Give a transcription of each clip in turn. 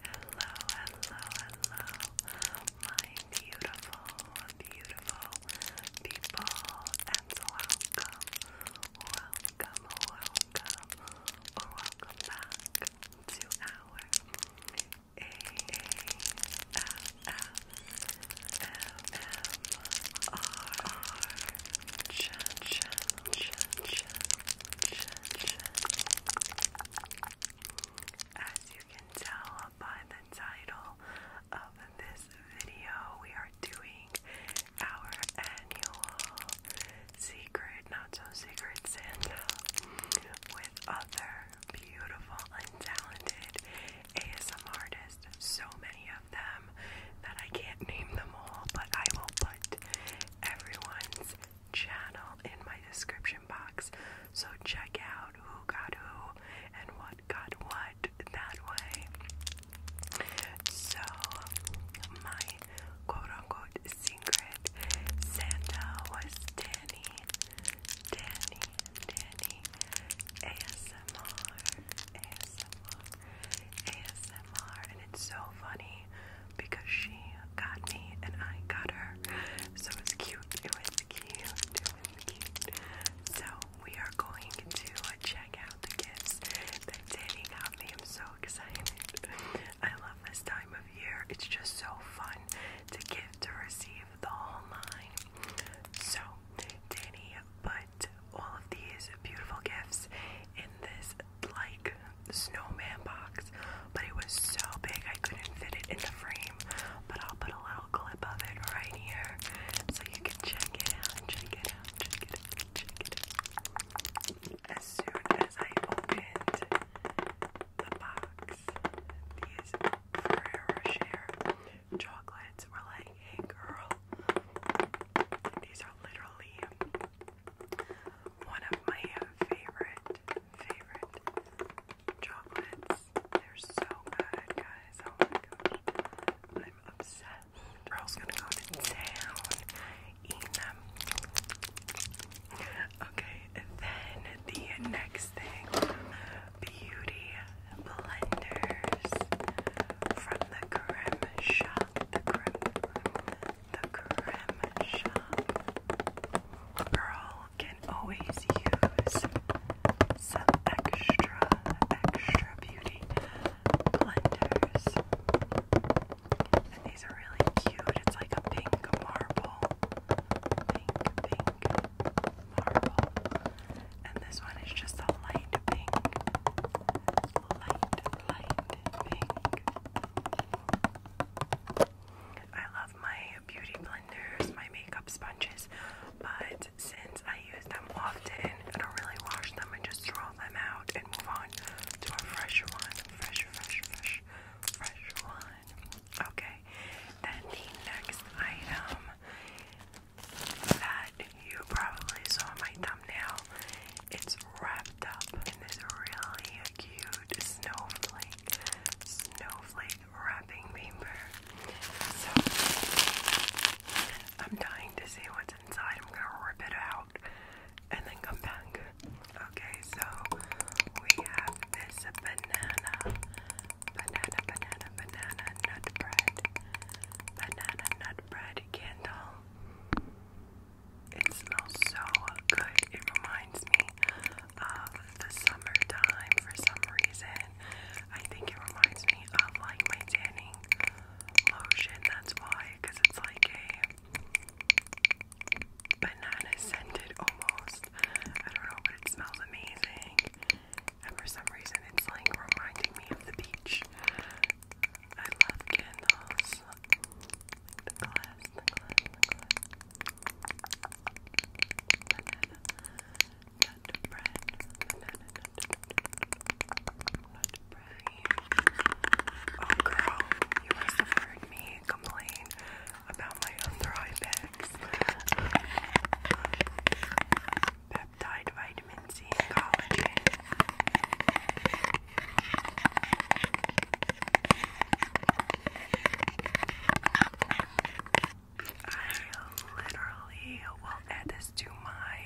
hello, hello, my beautiful, beautiful people, and welcome, welcome, welcome, or welcome back to our as you can tell by the title of this video, we are doing our annual Secret, not so secret Santa with other beautiful and talented ASM artists. So many of them that I can't name them all, but I will put everyone's channel in my description box. So check out who got who and what got what that way. So, my quote unquote secret Santa was Danny, Danny, Danny ASMR, ASMR, ASMR. And it's so funny because she got me and I got her. So it's cute, it was cute, it was cute. So we are going to check out the gifts that Danny got me. I'm so excited. I love this time of year. It's just so fun to give to receive the whole nine. So Danny put all of these beautiful gifts in this like snowman box, but it was so big I couldn't fit it in the frame. But I'll put a little clip of it right here so you can check it out, check it out, check it out, check it out. As soon as I opened the box, these Ferrero Share chocolates were like, hey girl, these are literally one of my favorite, favorite chocolates. They're so good, guys. Oh I'm obsessed. Girl's gonna go to Okay, then the next thing beauty blenders from the creme shop. the creme shop. Girl can always use some extra, extra beauty blenders. And these are really cute. It's like a pink marble. Pink, pink marble. And this one is just a light pink. Light, light pink. I love my beauty blenders, my makeup sponges, but since I use them often, I don't really wash them and just throw all them out and move on to a fresh one. Fresh, fresh, fresh, fresh one. Okay. Then the next item that you probably saw in my thumbnail, it's wrapped up in this really cute snowflake, snowflake wrapping paper. So I'm dying to see what's inside. I'm gonna rip it out and then come back. Okay, so we have this banana, banana, banana, banana nut bread, banana nut bread candle. It smells so good. It reminds me of the summertime for some reason. I think it reminds me of like my tanning lotion. That's why, because it's like a banana scented almost. I don't know, but it smells amazing. And for some reason, it's like reminding me of the beach. I love candles. The glass, Oh, girl, you must have heard me complain about my other eye bags. Peptide, vitamin C, collagen. I literally will add this to my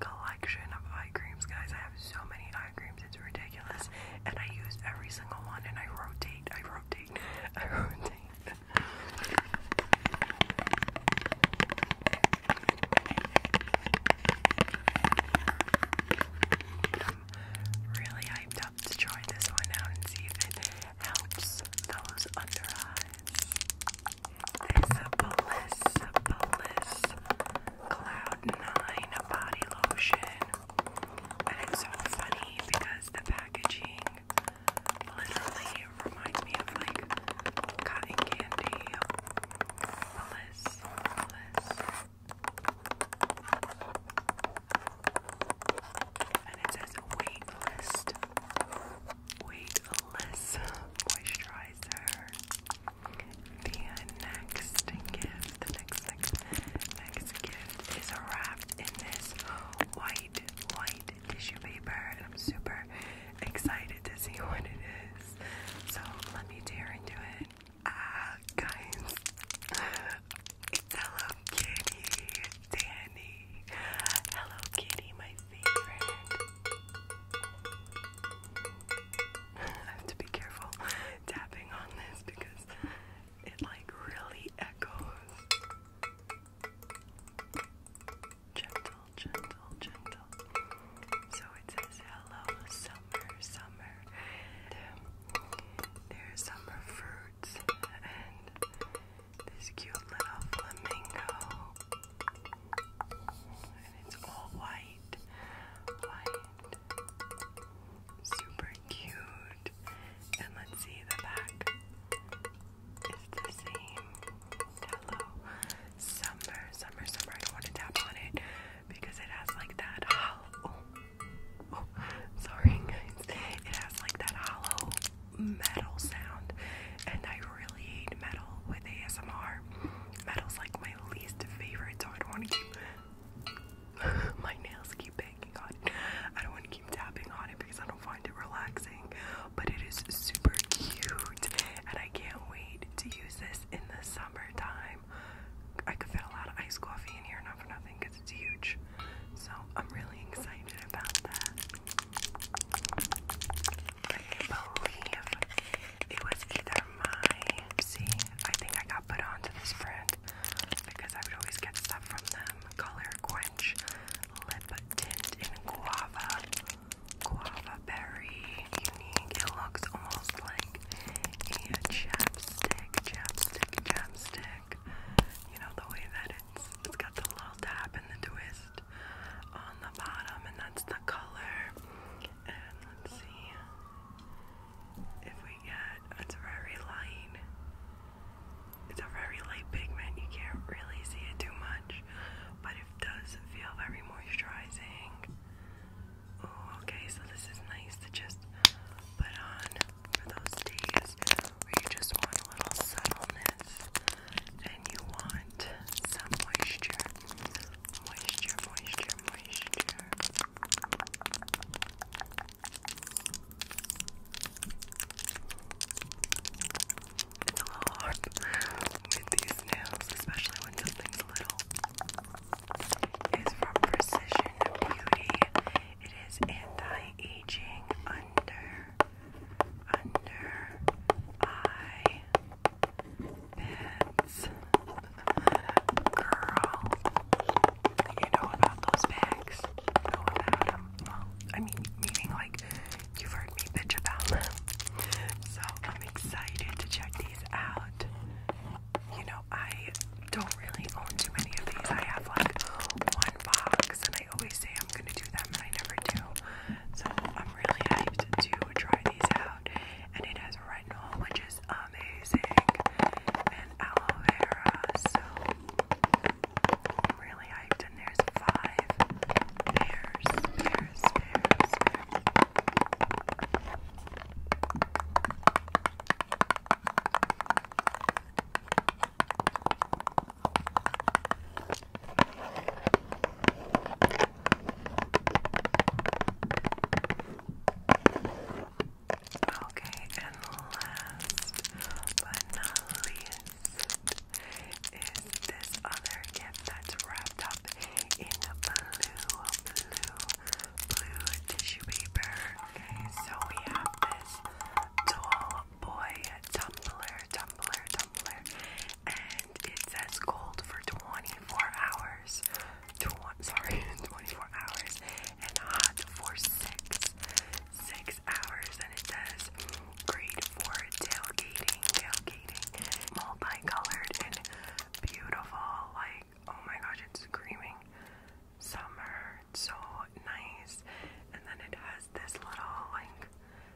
color collection of eye creams, guys. I have so many eye creams, it's ridiculous. And I use every single one and I rotate, I rotate, I rotate. really hyped up to try this one out and see if it helps those under eyes. It's a Bliss, Bliss Cloud 9 body lotion. And it's so funny because the packaging literally reminds me of like cotton candy. Bliss, And it says wait Weightless moisturizer. The next gift, the next, next, next gift is wrapped in this white, white tissue paper, and I'm super excited to see what it is. So let me tear into it. Ah, guys, Hello Kitty, Danny. Hello Kitty, my favorite. I have to be careful tapping on this because it like really echoes. Gentle, gentle, gentle. So it says hello summer, summer. there's summer fruits and this cute little flamingo. And it's all white. White. Super cute. And let's see the back. It's the same. Hello. Summer, summer, summer. I don't want to tap on it because it has like that hollow. Oh, oh sorry guys. It has like that hollow metal sound. And I really hate metal with ASMR metal's like my least favorite, so I don't want to keep my nails keep banging on it. I don't want to keep tapping on it because I don't find it relaxing. But it is super cute, and I can't wait to use this in the summertime. I could fit a lot of iced coffee in here, not for nothing, because it's huge. So I'm really excited about that. I can it was either my. See, I think I got put onto this brand because I would always get stuff from them. Color Quench Lip Tint in Guava. Guava Berry. Unique. It looks almost like a chapstick, chapstick, chapstick. You know, the way that it's, it's got the little tap and the twist on the bottom, and that's the color. And let's see if we get it's very light. It's a very light pigment, you can't really see it too much, but it does feel very moisturizing. Oh, okay, so this is nice to just put on for those days where you just want a little subtleness and you want want some moisture. Moisture, moisture, moisture. It's a little hard with these nails, especially when something's little. It's from Precision Beauty. It is anti-aging under under eye beds. Girl, you know about those bags. know about them. Well, I mean, meaning like you've heard me bitch about them. So I'm excited to check these out. You know, I don't really own too many of these. I have like one box, and I always say I'm gonna do that, but I never do. So I'm really hyped to try these out. And it has retinol, which is amazing, and aloe vera. So I'm really hyped. And there's five pairs. Okay, and last but not least is this other gift that's wrapped up in blue, blue, blue tissue paper. so we have this doll boy tumbler, tumbler, tumbler, and it says cold for 24 hours. sorry, 24 hours, and hot for six, six hours. And it says great for tailgating, tailgating, multicolored and beautiful. Like oh my gosh, it's screaming summer. It's so nice. And then it this little like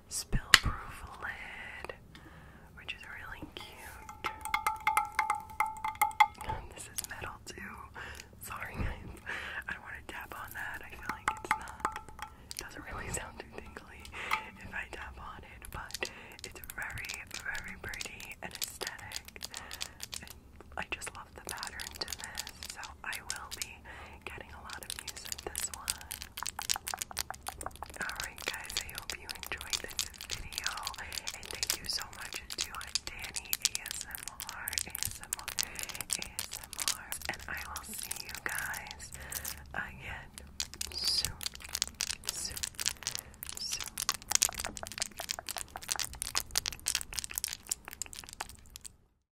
spill proof lid, which is really cute. this is metal too. Sorry guys, I don't want to tap on that. I feel like it's not, doesn't really sound too tingly if I tap on it, but it's very, very pretty and aesthetic. I just love the pattern to this, so I will be Alright, guys, I hope you enjoyed this video. And thank you so much to Danny ASMR, ASMR, ASMR. And I will see you guys again soon. Soon. Soon.